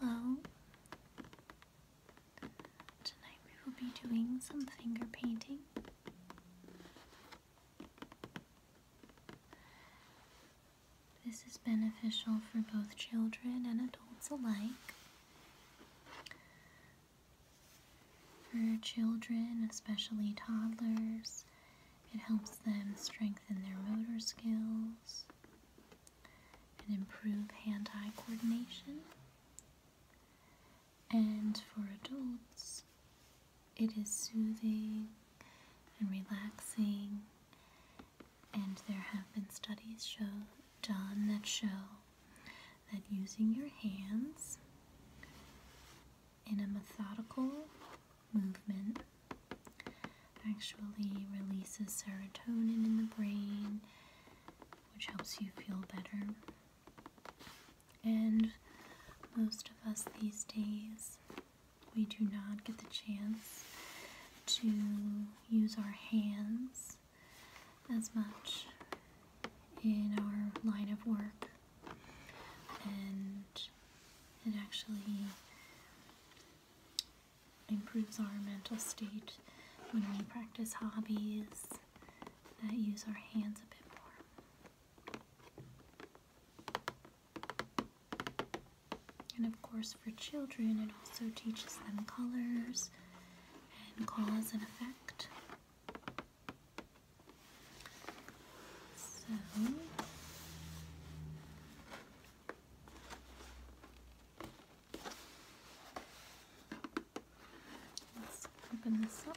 Hello. Tonight we will be doing some finger painting. This is beneficial for both children and adults alike. For children, especially toddlers, it helps them strengthen their motor skills and improve hand eye coordination. And for adults, it is soothing and relaxing and there have been studies show, done that show that using your hands in a methodical movement actually releases serotonin in the brain, which helps you feel better. And most of us these days we do not get the chance to use our hands as much in our line of work and it actually improves our mental state when we practice hobbies that use our hands a bit more. And of course, for children, it also teaches them colors and cause and effect. So, let's open this up.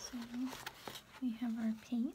So we have our paints.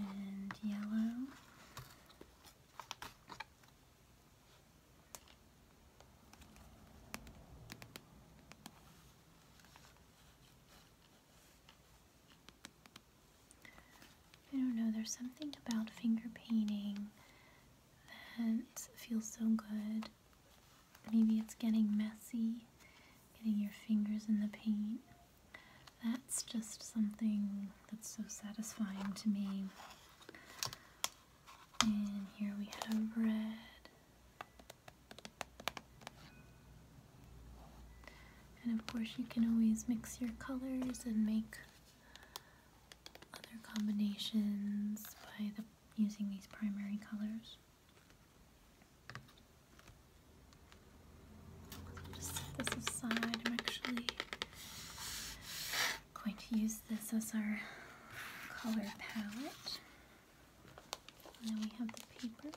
and yellow. I don't know, there's something about finger painting it feels so good. Maybe it's getting messy, getting your fingers in the paint. That's just something that's so satisfying to me. And here we have red. And of course you can always mix your colors and make other combinations by using these primary colors. i just set this aside. I'm actually going to use this as our color palette. then we have the paper.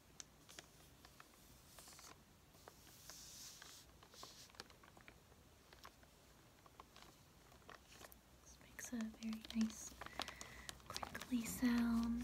This makes a very nice crinkly sound.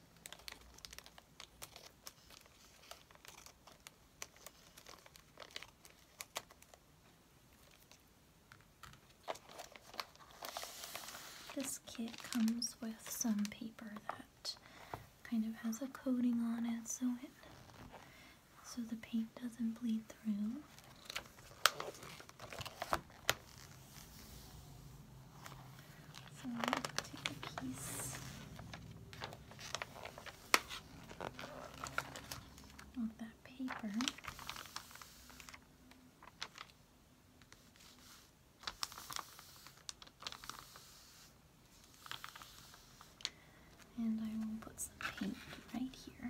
This kit comes with some paper that kind of has a coating on it so it so the paint doesn't bleed through. So take a piece of that paper. And I will put some paint right here.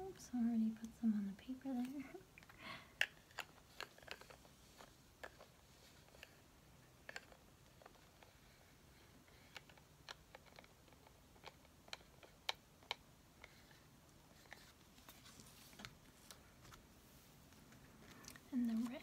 Oops, I already put some on the paper there. and the red.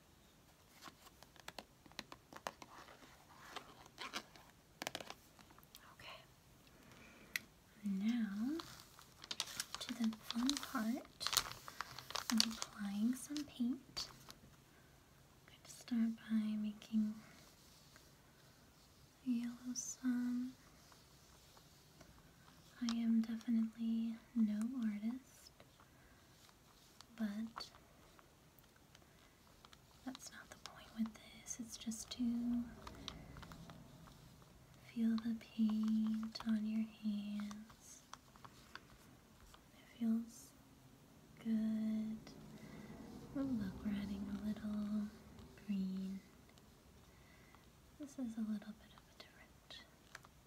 Okay. Now to the fun part of applying some paint. I'm going to start by making yellow sun. I am definitely no artist but that's not the point with this. It's just to feel the paint on your hands. It feels good. Oh, look, we're adding a little green. This is a little bit of a different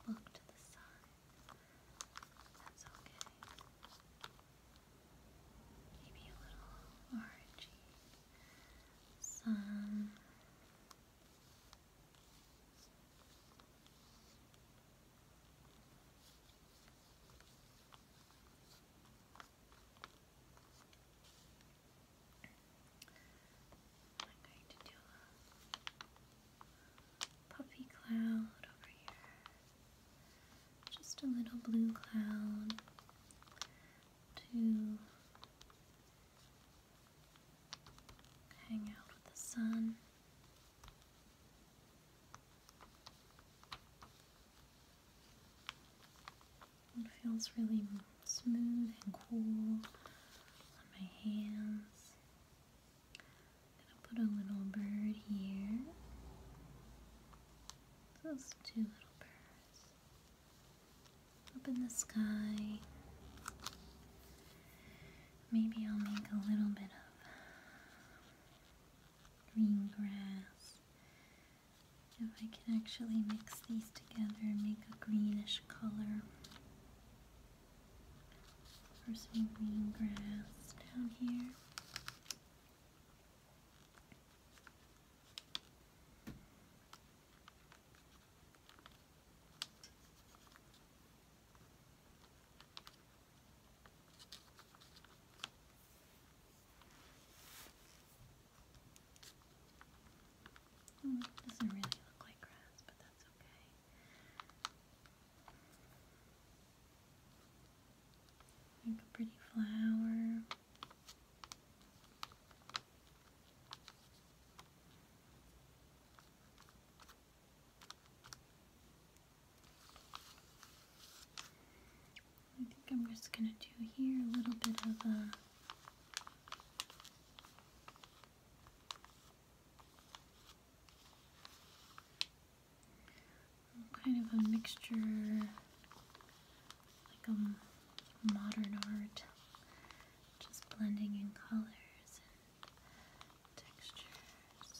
look to the sun. That's okay. Maybe a little orangey. Some I'm going to do puffy cloud over here. Just a little blue cloud to hang out with the sun. It feels really smooth and cool on my hands. Gonna put a little bird here. Those two little birds. Up in the sky. Maybe I'll make a little bit of green grass. If I can actually mix these together and make a greenish color for some green grass down here. Oh, doesn't really look like grass, but that's okay. Make a pretty flower. I think I'm just going to do here a little bit of a Kind of a mixture, like a modern art, just blending in colors and textures.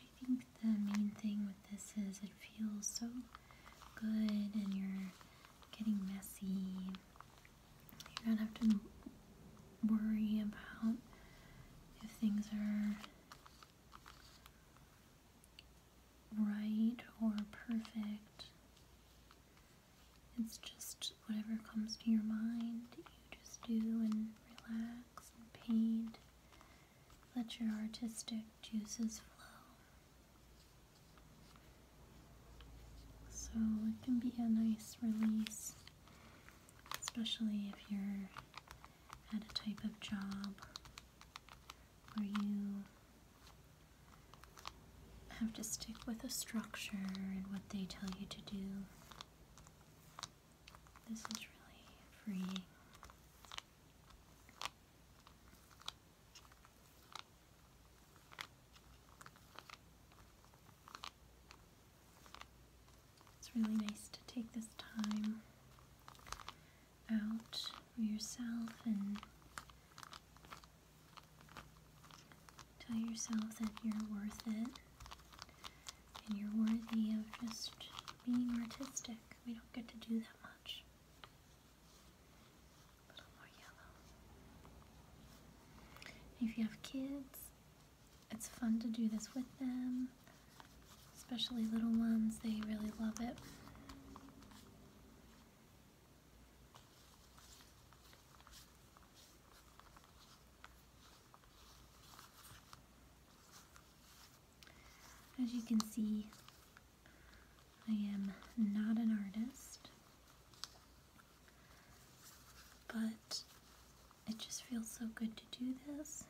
I think the main thing with this is it feels so good and you're getting messy. You don't have to worry about if things are right or perfect. It's just whatever comes to your mind, you just do and relax and paint. Let your artistic juices flow. So it can be a nice release, especially if you're at a type of job where you have to stick with a structure and what they tell you to do. This is really freeing. It's really nice to take this time out for yourself and Tell yourself that you're worth it and you're worthy of just being artistic. We don't get to do that much. A little more yellow. If you have kids, it's fun to do this with them, especially little ones. They really love it. As you can see, I am not an artist, but it just feels so good to do this.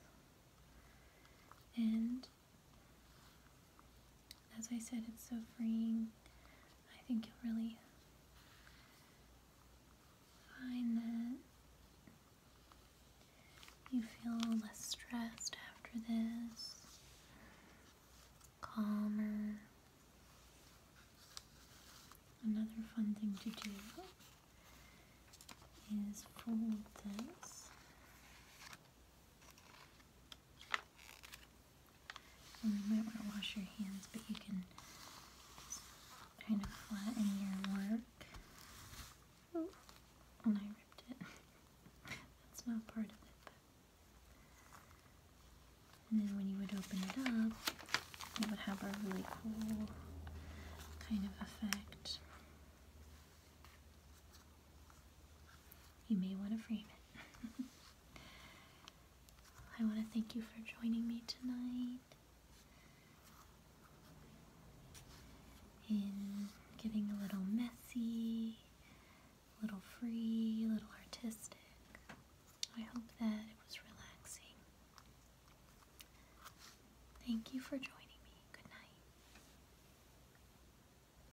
And as I said, it's so freeing. I think you'll really find that you feel less stressed after this, calmer. Another fun thing to do is fold this and you might want to wash your hands, but you can kind of flatten your work. Oh, and I ripped it. That's not part of it. And then when you would open it up, it would have a really cool kind of effect. You may want to frame it. I want to thank you for joining me tonight in getting a little messy, a little free, a little artistic. I hope that it was relaxing. Thank you for joining me. Good night.